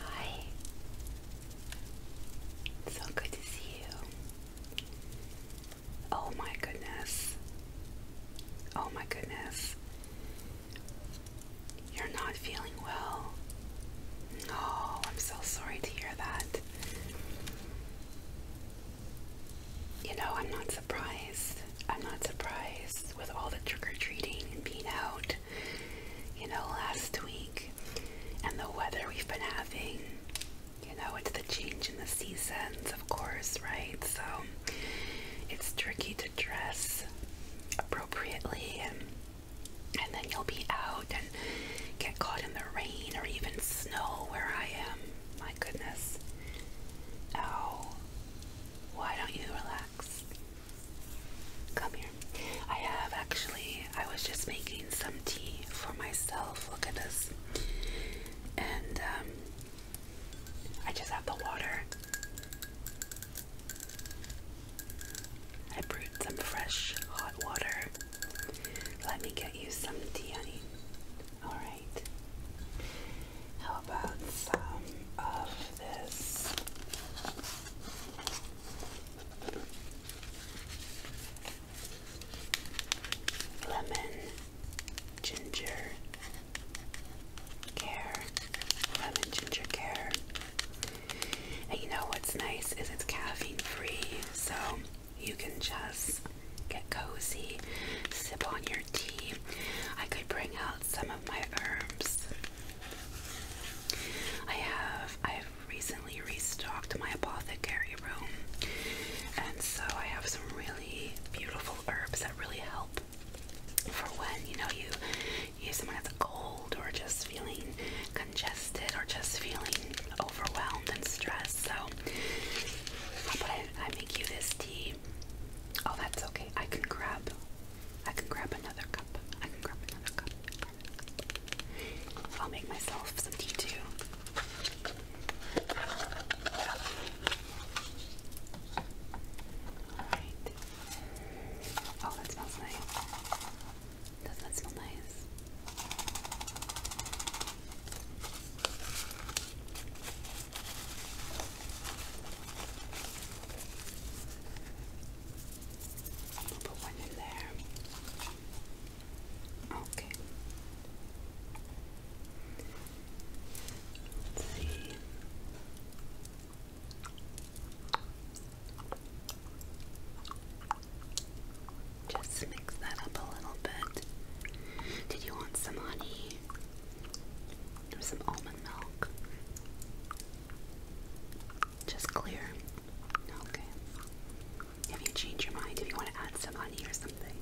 Hi. so good to see you. Oh my goodness. Oh my goodness. You're not feeling well. No, I'm so sorry to hear that you know, I'm not surprised. I'm not surprised with all the trick or treating and being out, you know, last week and the weather we've been having. You know, it's the change in the seasons, of course, right? So it's tricky to dress appropriately and and then you'll be out and get caught in the rain or even snow where I am my goodness. Oh, why don't you relax? Come here. I have actually, I was just making some tea for myself. Look at this. And um, I just have the water. I brewed some fresh hot water let me get you some tea, honey. Alright. How about some of this? Lemon, ginger care, lemon ginger care. And you know what's nice is it's caffeine free, so you can just get cozy, sip on your tea. I could bring out some of my herbs. I have I've recently restocked my apothecary room. And so I have some really beautiful herbs that really help for when, you know, you you someone has a cold or just feeling congested or just feeling overwhelmed and stressed. So, how about I, I make you this tea? Oh, that's okay. I can grab. I can grab another cup. I can grab another cup. I'll make myself some tea too. Alright. Oh, that smells nice. Doesn't that nice? put one in there. Okay. Let's see. Just mix that up a little bit. Did you want some honey? Or some almond milk? Just clear. Okay. If you change your mind, if you want to add some honey or something,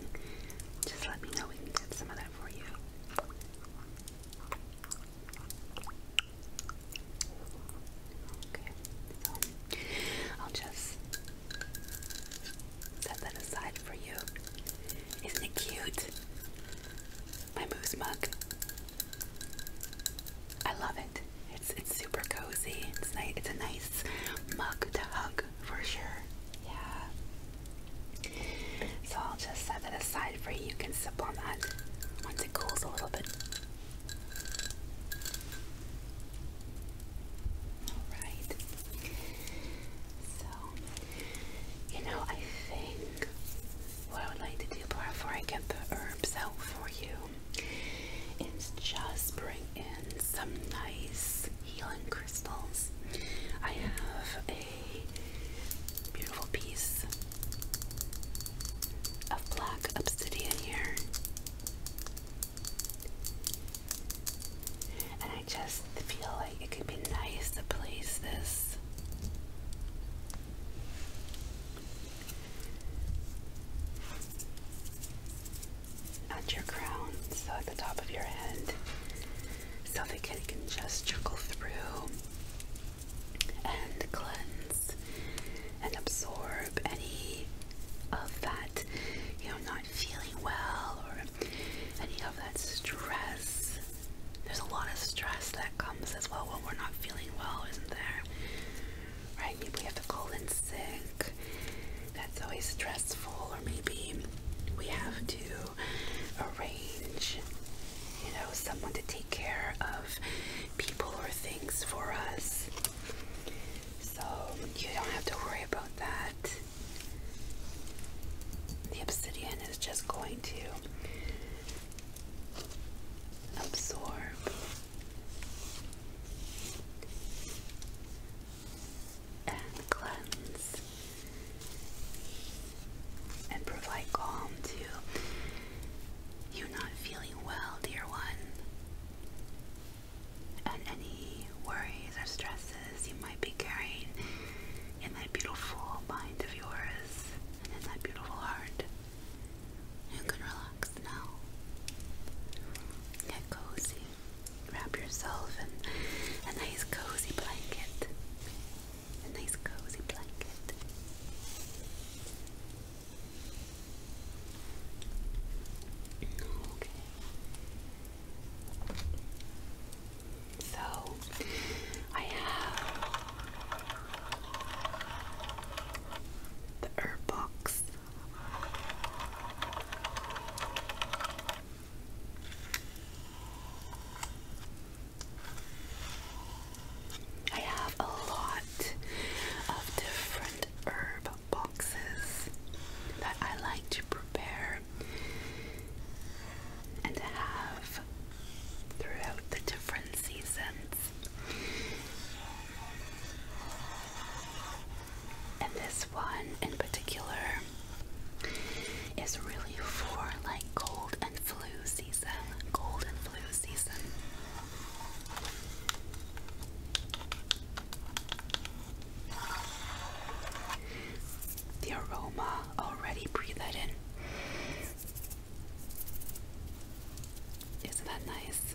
just let me know. We can get some of that for you. Okay. I'll just Set that aside for you. Isn't it cute? My moose mug. I love it. It's it's super cozy. It's nice. It's a nice mug to hug for sure. Yeah. So I'll just set that aside for you. You can sip on that once it cools a little bit. Alright. So, you know, I think what I would like to do before I get the herbs out for you is just bring in some nice healing crystals. I have a beautiful piece of black obsidian here. And I just feel like it could be nice to place this at your crown, so at the top of your head, so the kid can just trickle through and cleanse and absorb any of that, you know, not feeling well or any of that stress. There's a lot of stress that comes as well when we're not feeling well, isn't there? Right? Maybe we have to call in sick. That's always stressful, or maybe we have to arrange, you know, someone to take care of people or things for us. So you don't have to worry about that. The obsidian is just going to absorb and cleanse and provide calm to you not feeling well, dear one and any worries or stresses you might be carrying in that beautiful mind of yours and in that beautiful heart. You can relax now. Get cozy. Wrap yourself in a nice cozy blanket. A nice cozy blanket. Okay. So I have the herb box. I have a lot of different herb boxes that I like to prepare and have throughout the different seasons. And this one in particular is really for like cold and flu season. Cold and flu season. The aroma already breathe in. Isn't that nice?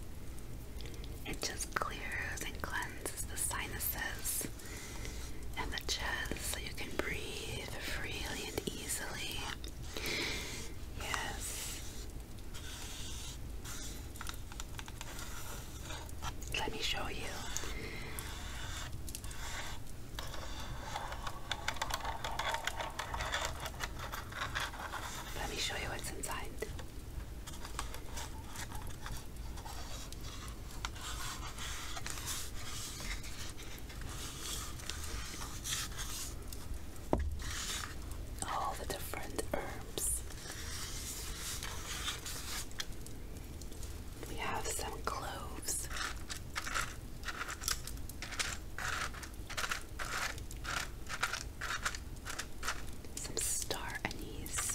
It just clears and cleanses the sinuses and the chest so you can breathe freely and easily. Yes, let me show you. Let me show you what's inside all the different herbs. We have some cloves. Some star anise,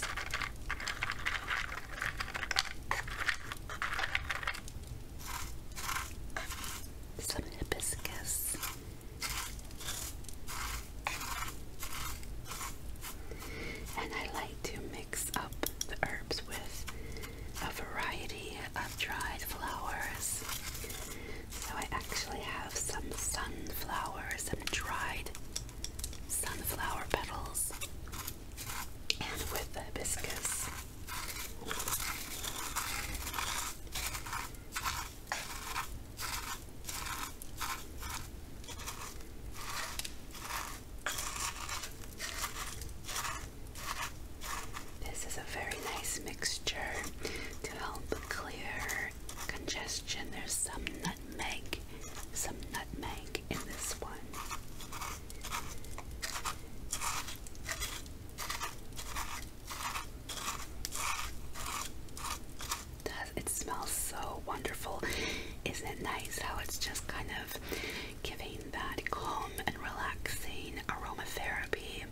some hibiscus, and I like to mix up the herbs with a variety of dried flowers. So I actually have some sunflowers some dried sunflower petals, and with the hibiscus. This is a very nice mixture to help clear congestion. There's some nutmeg, some nutmeg in this one. It does it smells so wonderful? Isn't it nice how it's just kind of giving that calm and relaxing aromatherapy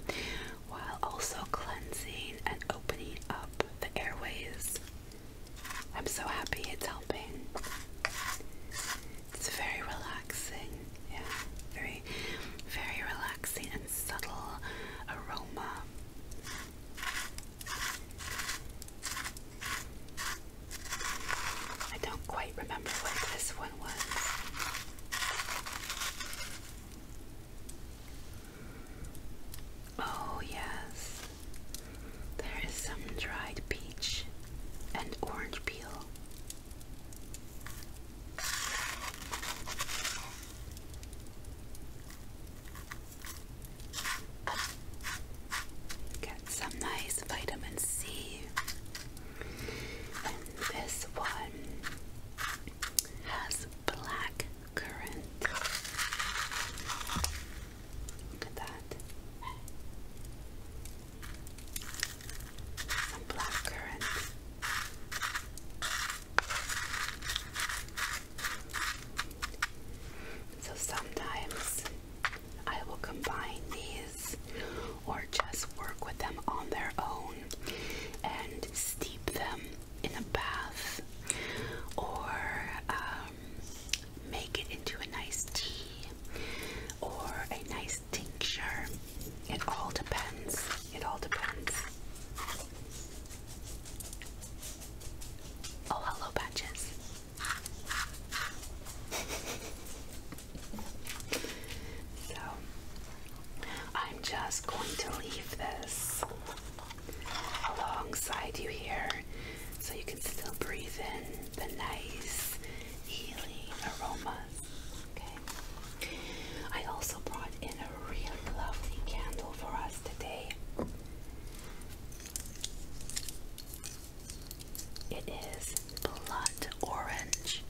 while also cleansing and opening up the airways? I'm so happy it's helping. It's very relaxing. Yeah, very, very relaxing and subtle aroma. I don't quite remember what this one was. Oh, yes, there is some dried peach and orange peel. Get some nice vitamin C. And this one has black currant. Look at that some black So sometimes I will combine these or just work with them on their own and steep them in a bath or um, make it into a nice tea or a nice tincture. It all depends. It all depends. Oh, hello, Patches. so, I'm just going to leave this alongside you here so you can still breathe in the nice healing aroma Okay. I also brought in a really lovely candle for us today. It is blood orange.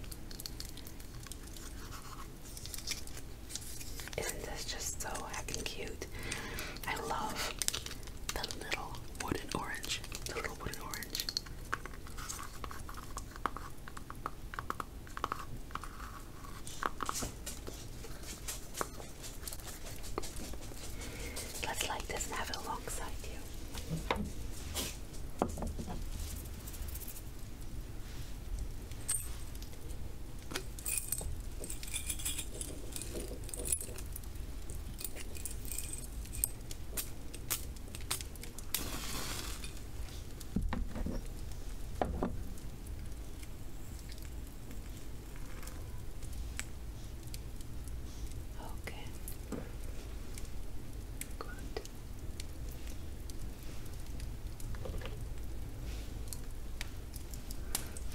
Isn't this just so heckin' cute? I love the little wooden orange. The little wooden orange. Let's light this and have it alongside you. Okay. Good.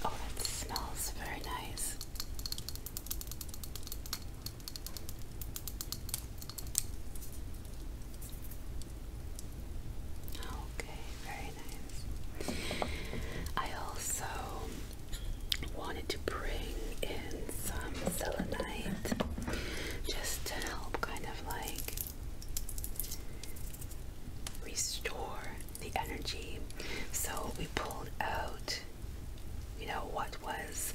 Oh, that smells very nice. Okay, very nice. I also wanted to bring in some selenite just to help kind of like restore the energy. So we pulled out you know, what was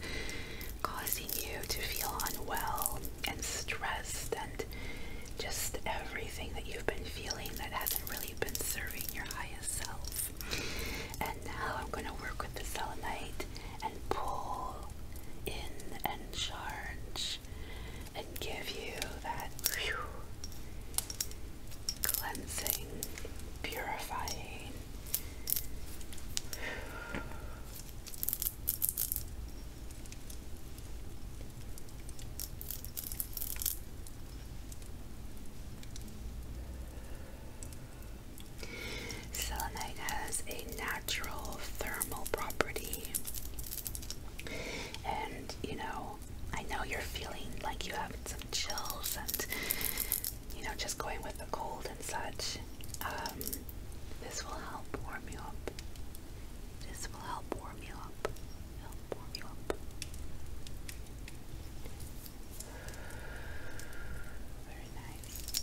causing you to feel unwell and stressed and just everything that you've been feeling that hasn't really been serving your highest self. And now I'm going to work with the selenite and pull in and charge and give you that cleansing, purifying, Selenite has a natural thermal property. And you know, I know you're feeling like you have some chills and you know, just going with the cold and such, um, this will help warm you up. This will help warm you up. Help warm you up. Very nice.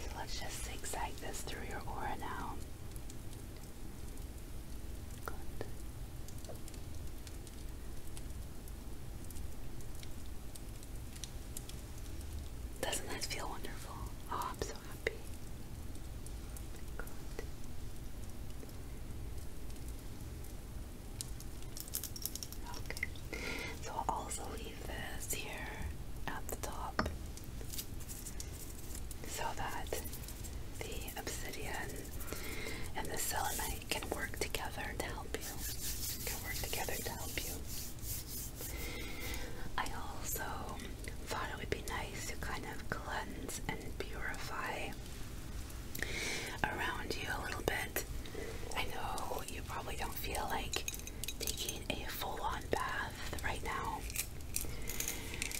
So let's just zigzag this through your aura now. Good. Doesn't that feel wonderful? Oh, I'm so happy. Good. Okay. So I'll also leave this here at the top so that the obsidian and the selenite can work together to help you. Can work together to help you. I also thought it would be nice to kind of cleanse and purify around you a little bit. I know you probably don't feel like taking a full-on bath right now.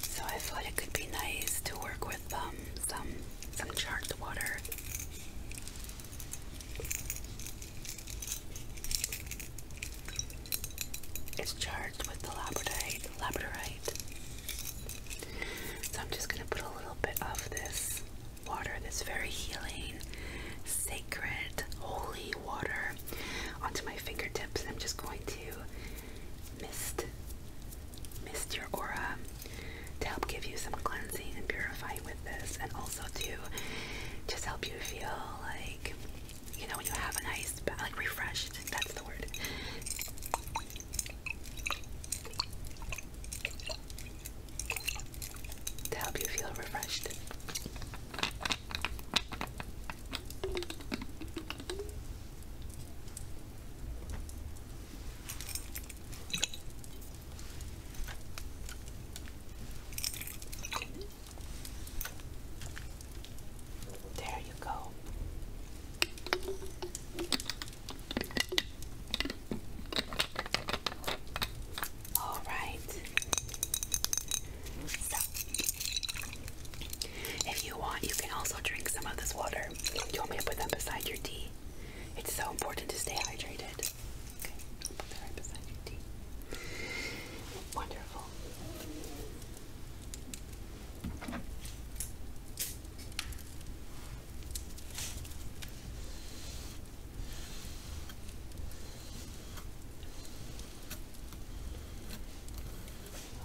So I thought it could be nice to work with um, some some charred water it's charged with the labradorite. labradorite. So I'm just going to put a little bit of this water, this very healing, sacred, holy water, onto my fingertips. and I'm just going to mist mist your aura to help give you some cleansing and purifying with this, and also to just help you feel like you know when you have a nice, like refreshed. That's the word. To help you feel refreshed. There you go. All right. if you want, you can also drink some of this water. Do you want me to put them beside your tea? It's so important to stay hydrated. Okay, I'll put that right beside your tea. Wonderful.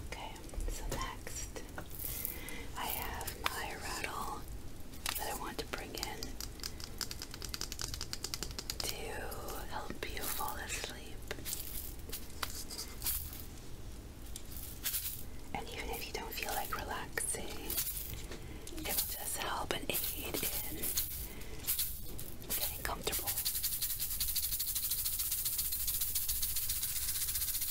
Okay, so next I have my rattle that I want to bring in to help you fall asleep. And even if you don't feel like relaxing, it will just help and aid in getting comfortable.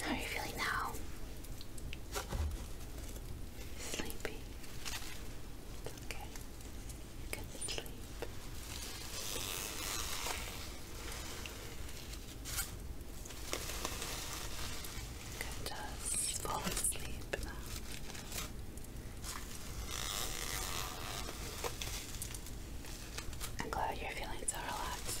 How are you feeling now? Sleepy. It's okay. Get the sleep. You can just fall asleep now. I'm glad you're feeling so relaxed.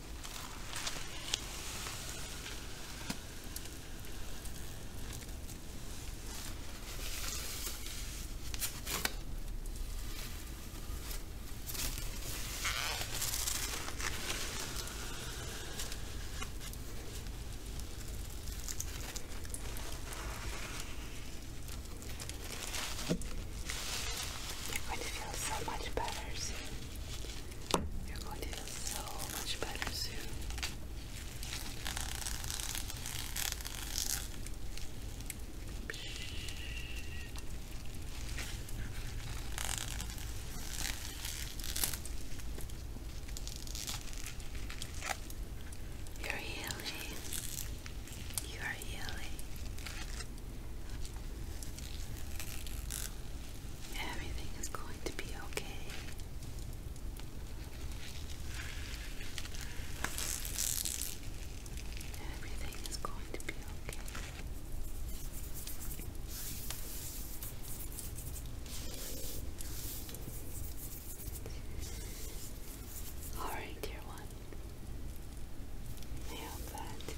You're going to feel so much better soon. You're going to feel so much better soon. You're healing. You are healing. Everything is going to be okay. Everything is going to be okay. Alright, dear one. I hope that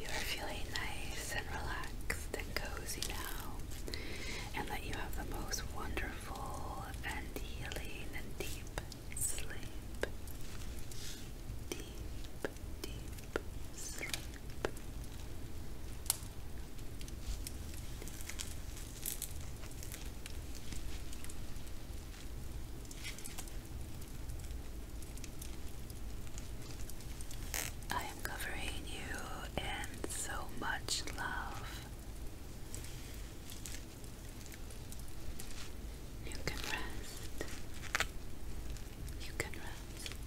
you are feeling nice and relaxed and cozy now, and that you have the most wonderful and healing and deep sleep. Deep, deep sleep. Deep. I am covering you in so much love. You can rest. You can rest.